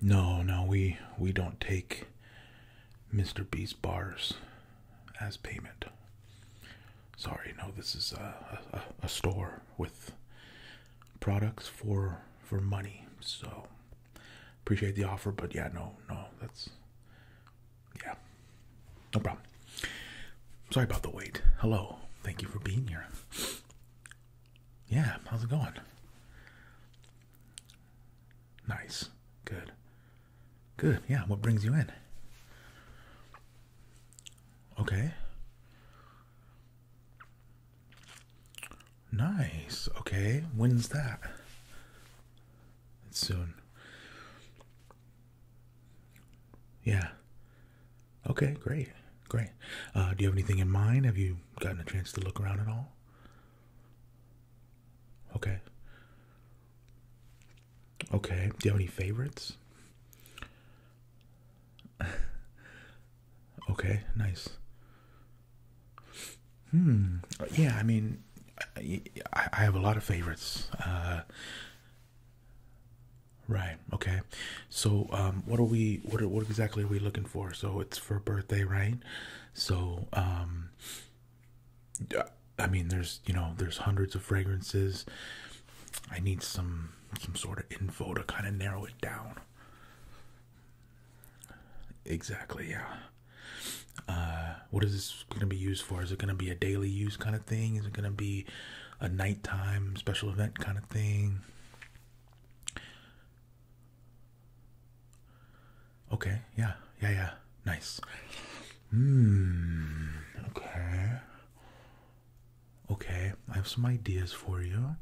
No, no, we we don't take Mr. Beast bars as payment. Sorry, no, this is a, store with products for for money. So appreciate the offer, but yeah, no, no, that's yeah, no problem. Sorry about the wait. Hello, thank you for being here. Yeah, how's it going? Nice. Good. Good. Yeah. What brings you in? Okay. Nice. Okay. When's that? It's soon. Yeah. Okay. Great. Great. Uh, do you have anything in mind? Have you gotten a chance to look around at all? Okay. Okay. Do you have any favorites? okay. Nice. Hmm. Yeah. I mean, I, have a lot of favorites. Uh, right. Okay. So, um, what are we? What What exactly are we looking for? So it's for birthday, right? So, um, I mean, there's you know, there's hundreds of fragrances. I need some some sort of info to kind of narrow it down. Exactly, yeah. Uh, what is this going to be used for? Is it going to be a daily use kind of thing? Is it going to be a nighttime special event kind of thing? Okay, yeah, yeah, yeah. Nice. Hmm, okay. Okay, I have some ideas for you.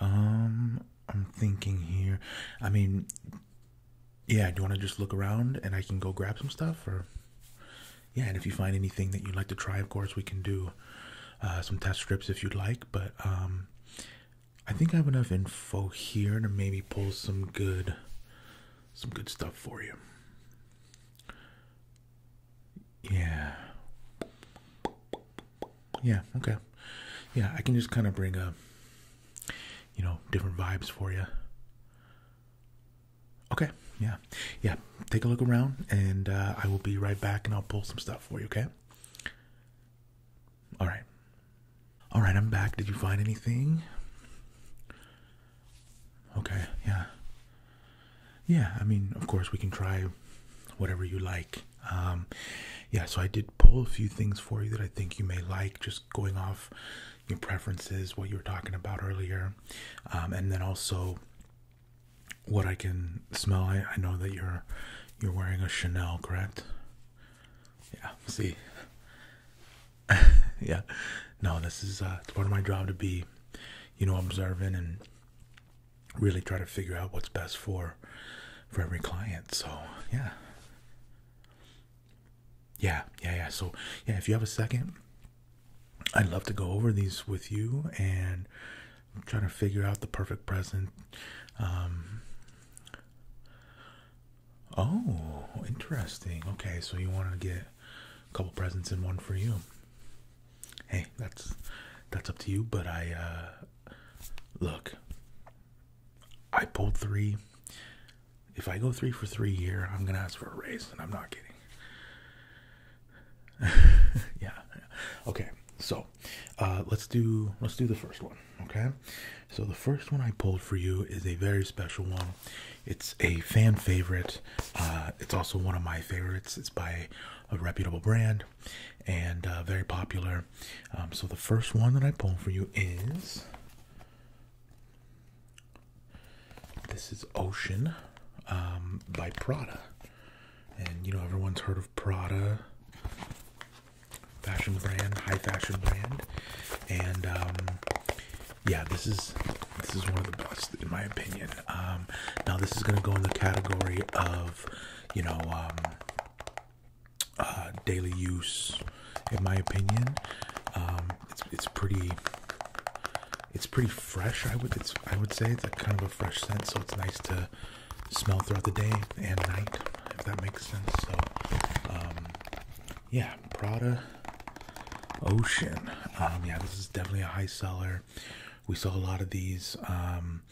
Um, I'm thinking here. I mean, yeah, do you want to just look around and I can go grab some stuff or yeah, and if you find anything that you'd like to try, of course, we can do uh, some test strips if you'd like. But um, I think I have enough info here to maybe pull some good some good stuff for you. Yeah. Yeah, okay. Yeah, I can just kind of bring a, you know, different vibes for you. Okay, yeah. Yeah, take a look around and uh, I will be right back and I'll pull some stuff for you, okay? All right. All right, I'm back. Did you find anything? Okay, yeah. Yeah, I mean, of course, we can try whatever you like. Um, yeah, so I did pull a few things for you that I think you may like, just going off your preferences, what you were talking about earlier, um, and then also what I can smell. I, I know that you're you're wearing a Chanel, correct? Yeah, see. yeah. No, this is uh, it's part of my job to be, you know, observing and really try to figure out what's best for for every client. So yeah. Yeah, yeah, yeah. So yeah, if you have a second, I'd love to go over these with you and try to figure out the perfect present. Um, Oh, interesting. Okay, so you want to get a couple presents and one for you. Hey, that's that's up to you, but I uh look. I pulled three. If I go three for three here, I'm gonna ask for a raise, and I'm not kidding. yeah. Okay, so uh, let's do let's do the first one. Okay, so the first one I pulled for you is a very special one. It's a fan favorite. Uh, it's also one of my favorites. It's by a reputable brand and uh, very popular. Um, so the first one that I pulled for you is this is Ocean um, by Prada, and you know everyone's heard of Prada fashion brand, high fashion brand, and um, yeah, this is this is one of the best in my opinion. Um, now this is gonna go in the category of you know um, uh, daily use, in my opinion. it's it's pretty. It's pretty fresh. I would. It's. I would say it's a kind of a fresh scent, so it's nice to smell throughout the day and night, if that makes sense. So, um, yeah, Prada Ocean. Um, yeah, this is definitely a high seller. We saw a lot of these. Um,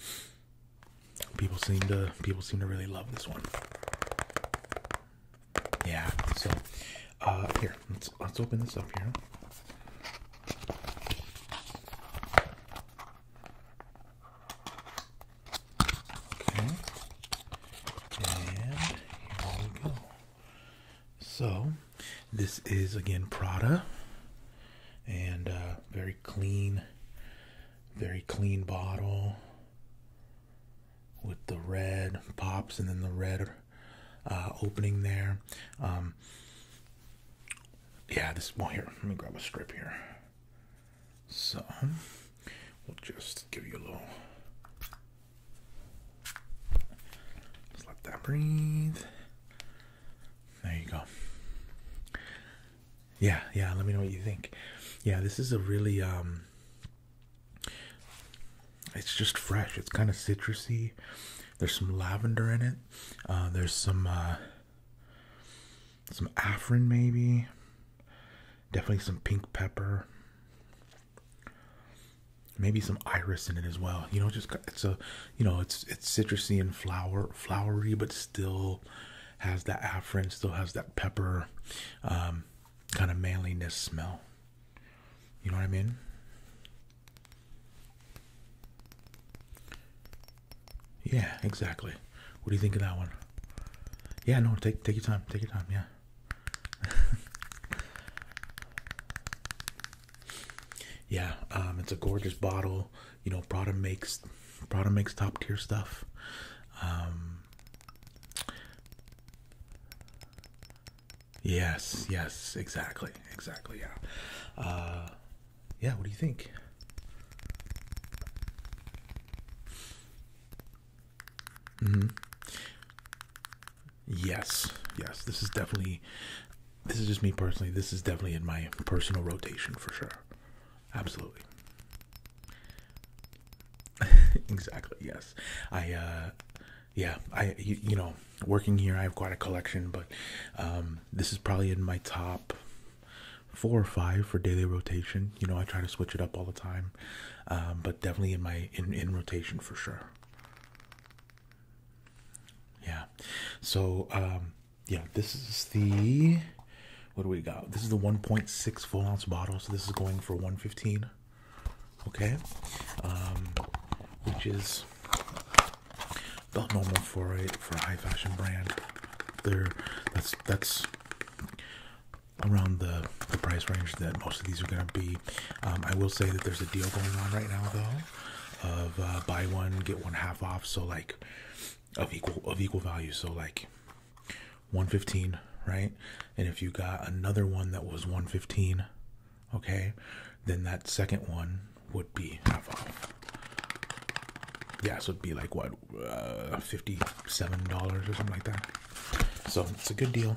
people seem to people seem to really love this one. Yeah. So, uh, here let's let's open this up here. So, this is again Prada and uh, very clean, very clean bottle with the red pops and then the red uh, opening there. Um, yeah, this well here. Let me grab a strip here. So we'll just give you a little. Just let that breathe. There you go. Yeah, yeah. Let me know what you think. Yeah, this is a really um. It's just fresh. It's kind of citrusy. There's some lavender in it. Uh, there's some. Uh, some Afrin, maybe. Definitely some pink pepper. Maybe some iris in it as well. You know, just it's a, you know, it's it's citrusy and flower flowery, but still has that Afrin, still has that pepper, um, kind of manliness smell. You know what I mean? Yeah, exactly. What do you think of that one? Yeah, no, take take your time. Take your time. Yeah. yeah, um, it's a gorgeous bottle. You know, Prada makes Prada makes top tier stuff. Um, yes, yes, exactly, exactly. Yeah, uh, yeah. What do you think? hmm Yes, yes, this is definitely. This is just me personally. This is definitely in my personal rotation for sure. Absolutely. exactly. Yes, I. uh Yeah, I. You, you know, working here, I have quite a collection, but um this is probably in my top four or five for daily rotation. You know, I try to switch it up all the time, um, but definitely in my in in rotation for sure. Yeah. So um, yeah, this is the what do we got? This is the 1.6 full ounce bottle. So this is going for 115. Okay, um, which is about normal for a for a high fashion brand. There, that's that's around the, the price range that most of these are going to be. Um, I will say that there's a deal going on right now though of uh, buy one get one half off. So like of equal of equal value. So like 115, right? And if you got another one that was 115, okay, then that second one would be half off. Yeah, so it'd be like what uh, fifty-seven dollars or something like that. So it's a good deal.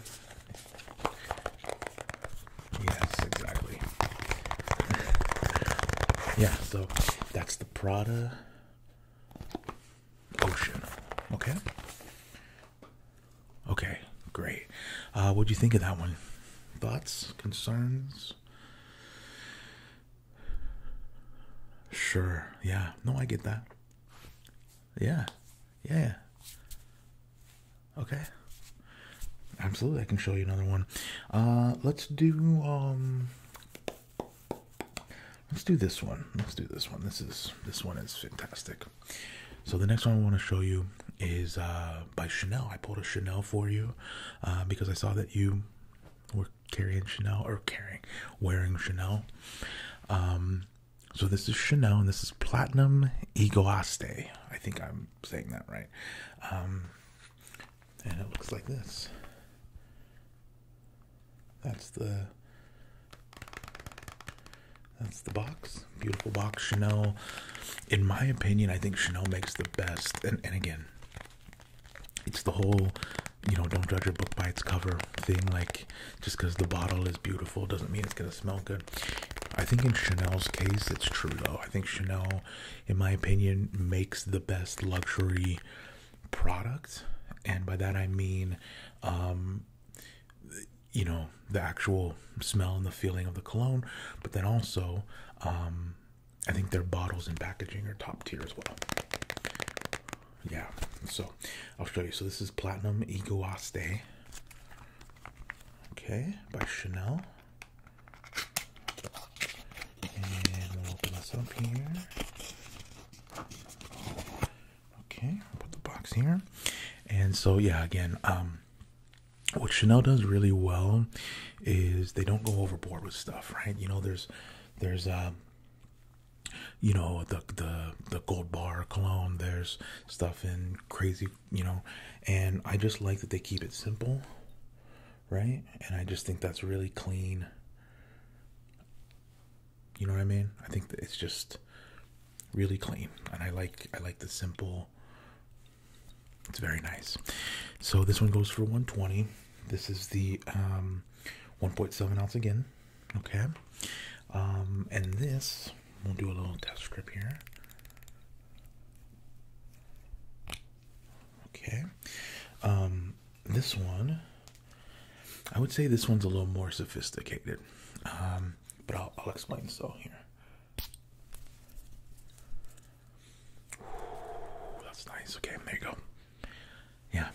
Yes, exactly. yeah, so that's the Prada Ocean. Okay. Okay, great. Uh, what do you think of that one? Thoughts, concerns? Sure. Yeah. No, I get that. Yeah. Yeah. Okay. Absolutely. I can show you another one. Uh let's do um Let's do this one. Let's do this one. This is this one is fantastic. So the next one I want to show you is uh by Chanel. I pulled a Chanel for you uh because I saw that you were carrying Chanel or carrying wearing Chanel. Um, so this is Chanel and this is Platinum Egoaste. I think I'm saying that right. Um, and it looks like this. That's the that's the box. Beautiful box. Chanel, in my opinion, I think Chanel makes the best. and again, it's the whole you know don't judge a book by its cover thing like just because the bottle is beautiful doesn't mean it's gonna smell good i think in chanel's case it's true though i think chanel in my opinion makes the best luxury product and by that i mean um you know the actual smell and the feeling of the cologne but then also um i think their bottles and packaging are top tier as well yeah so i'll show you so this is platinum ego okay by chanel and we'll open this up here okay put the box here and so yeah again um what chanel does really well is they don't go overboard with stuff right you know there's there's a. Uh, you know the the the gold bar cologne there's stuff in crazy you know and i just like that they keep it simple right and i just think that's really clean you know what i mean i think that it's just really clean and i like i like the simple it's very nice so this one goes for 120 this is the um, 1.7 ounce again Okay. Um, and this, we'll do a little test script here. Okay. Um, this one, I would say this one's a little more sophisticated. Um, but I'll, explain so here. that's nice. Okay, there you go yeah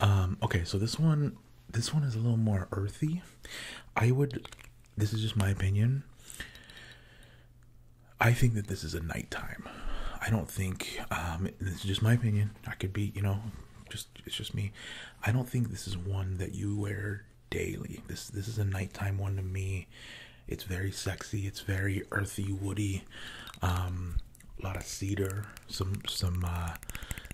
um, okay so this one this one is a little more earthy i would this is just my opinion i think that this is a nighttime i don't think um this is just my opinion i could be you know just it's just me i don't think this is one that you wear daily this this is a nighttime one to me it's very sexy it's very earthy woody um, a lot of cedar, some some uh,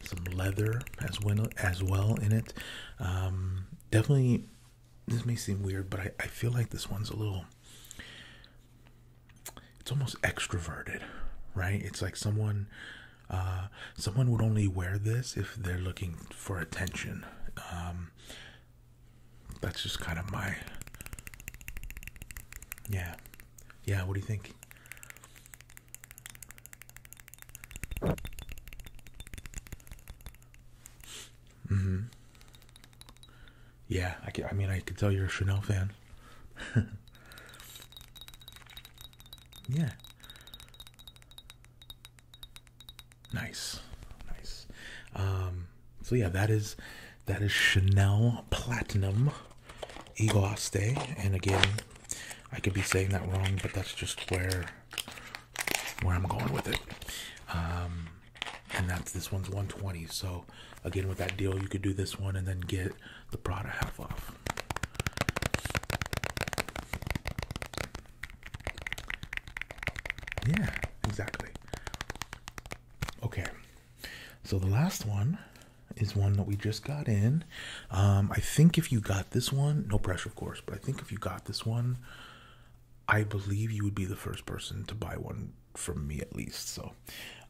some leather as well as well in it. Um, definitely, this may seem weird, but I, I feel like this one's a little. It's almost extroverted, right? It's like someone, uh, someone would only wear this if they're looking for attention. Um, that's just kind of my. Yeah, yeah. What do you think? Mm-hmm. Yeah, I, can, I mean, I can tell you're a Chanel fan. yeah. Nice, nice. Um, so yeah, that is that is Chanel Platinum Eagle Stay. And again, I could be saying that wrong, but that's just where where I'm going with it. Um, and that's this one's 120. So again, with that deal, you could do this one and then get the Prada half off. Yeah, exactly. Okay. So the last one is one that we just got in. Um, I think if you got this one, no pressure, of course, but I think if you got this one, I believe you would be the first person to buy one from me at least. So,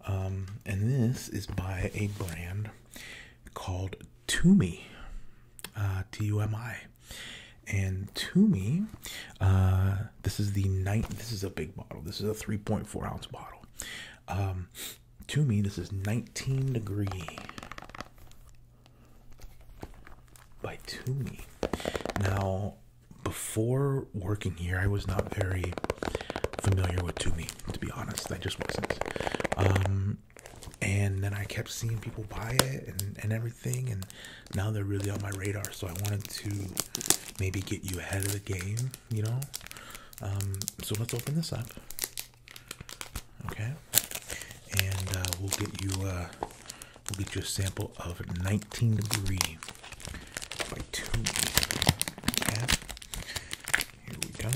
um, and this is by a brand called Tumi, uh, T U M I. And Tumi, uh, this is the ninth. this is a big bottle, this is a 3.4 ounce bottle. Um, to me, this is 19 degree by to me. Now, before working here, I was not very familiar with to me. to be honest. I just wasn't. Um, and then I kept seeing people buy it and, and everything, and now they're really on my radar. So I wanted to maybe get you ahead of the game, you know? Um, so let's open this up. Okay, and uh, we'll get you uh, we'll get you a sample of 19 degree by two. Okay, here we go.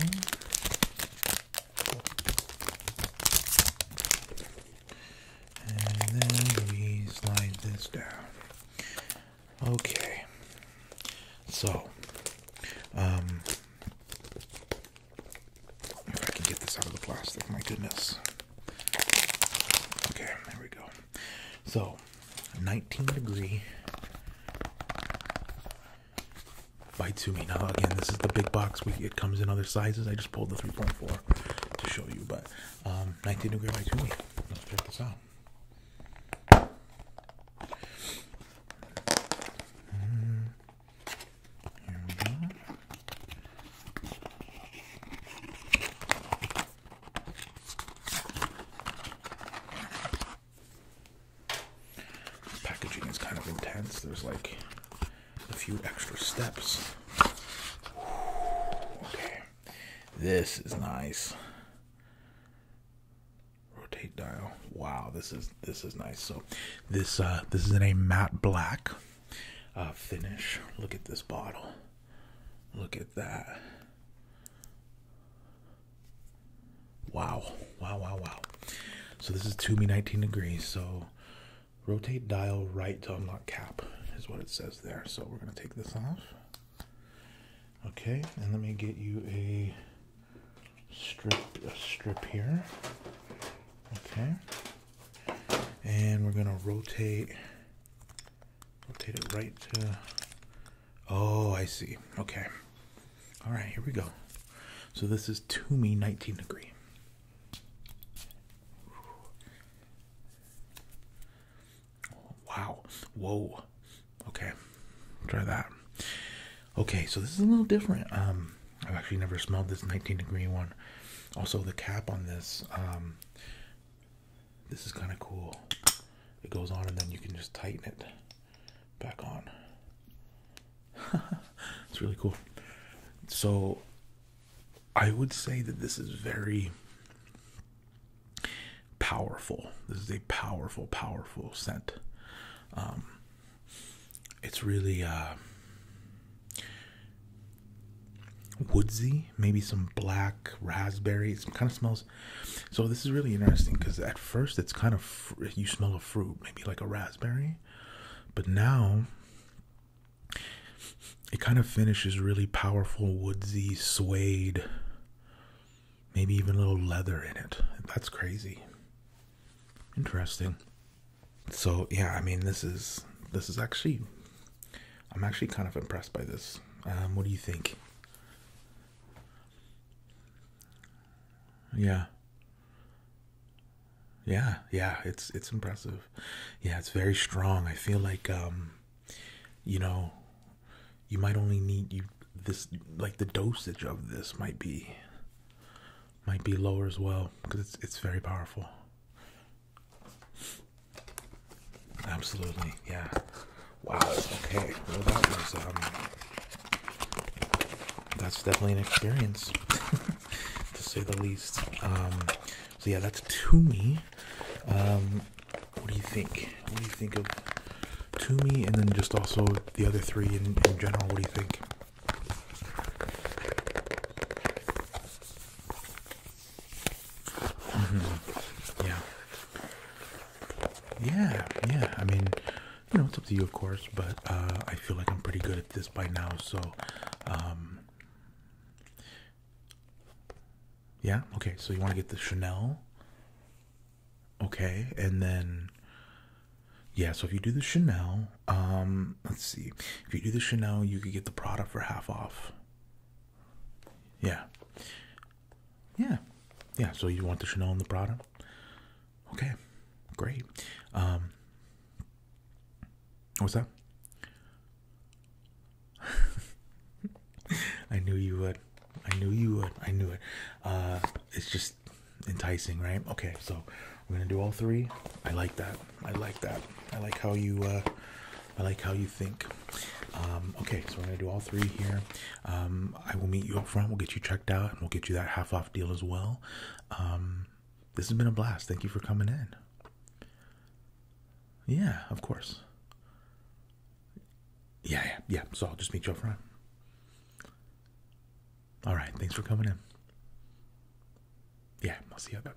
And then we slide this down. Okay, so um, if I can get this out of the plastic, my goodness. Okay, there we go. So, 19 degree by Tsumi. Now, again, this is the big box. We, it comes in other sizes. I just pulled the 3.4 to show you, but um, 19 degree by Tsumi. Let's check this out packaging is kind of intense. There's like a few extra steps. Okay. This is nice rotate dial. Wow, this is this is nice. So this uh this is in a matte black uh finish. Look at this bottle. Look at that. Wow. Wow, wow, wow. So this is to me 19 degrees. So rotate dial right to unlock cap is what it says there. So we're going to take this off. Okay, and let me get you a strip a strip here. Okay. And we're gonna rotate rotate it right Oh, I see. Okay. Alright, here we go. So this is to me 19 degree. Wow. Whoa. Okay. Try that. Okay, so this is a little different. Um, I've actually never smelled this 19 degree one. Also, the cap on this, um, this is kind of cool. It goes on and then you can just tighten it back on. it's really cool. So, I would say that this is very powerful. This is a powerful, powerful scent. Um, it's really uh, woodsy, maybe some black raspberries. kind of smells. So this is really interesting because at first it's kind of you smell a fruit, maybe like a raspberry, but now it kind of finishes really powerful woodsy suede maybe even a little leather in it that's crazy Interesting. So yeah, I mean this is this is actually I'm actually kind of impressed by this. Um what do you think? Yeah. Yeah, yeah, it's it's impressive. Yeah, it's very strong. I feel like um you know you might only need you this like the dosage of this might be might be lower as well because it's it's very powerful. Absolutely, yeah. Wow. Okay. Well, that was um. That's definitely an experience, to say the least. Um. So yeah, that's Toomey. Um. What do you think? What do you think of Toomey, and then just also the other three in, in general? What do you think? Mm -hmm. Yeah. Yeah, yeah. I mean, you know, it's up to you, of course, but uh, I feel like I'm pretty good at this by now, so. Um, yeah, okay, so you want to get the Chanel? Okay, and then yeah, so if you do the Chanel, um, let's see, if you do the Chanel, you could get the product for half off. Yeah, yeah, yeah. So you want the Chanel and the Prada? Okay, great. Um, what's that? I knew you would. I knew you would. I knew it. Uh, it's just enticing, right? Okay, so we're gonna do all three. I like that. I like that. I like how you. Uh, I like how you think. Um, okay, so we're gonna do all three here. Um, I will meet you up front. We'll get you checked out, and we'll get you that half off deal as well. Um, this has been a blast. Thank you for coming in. Yeah, of course. Yeah, yeah, yeah. So I'll just meet you up front. All right. Thanks for coming in. Yeah, I'll see you about.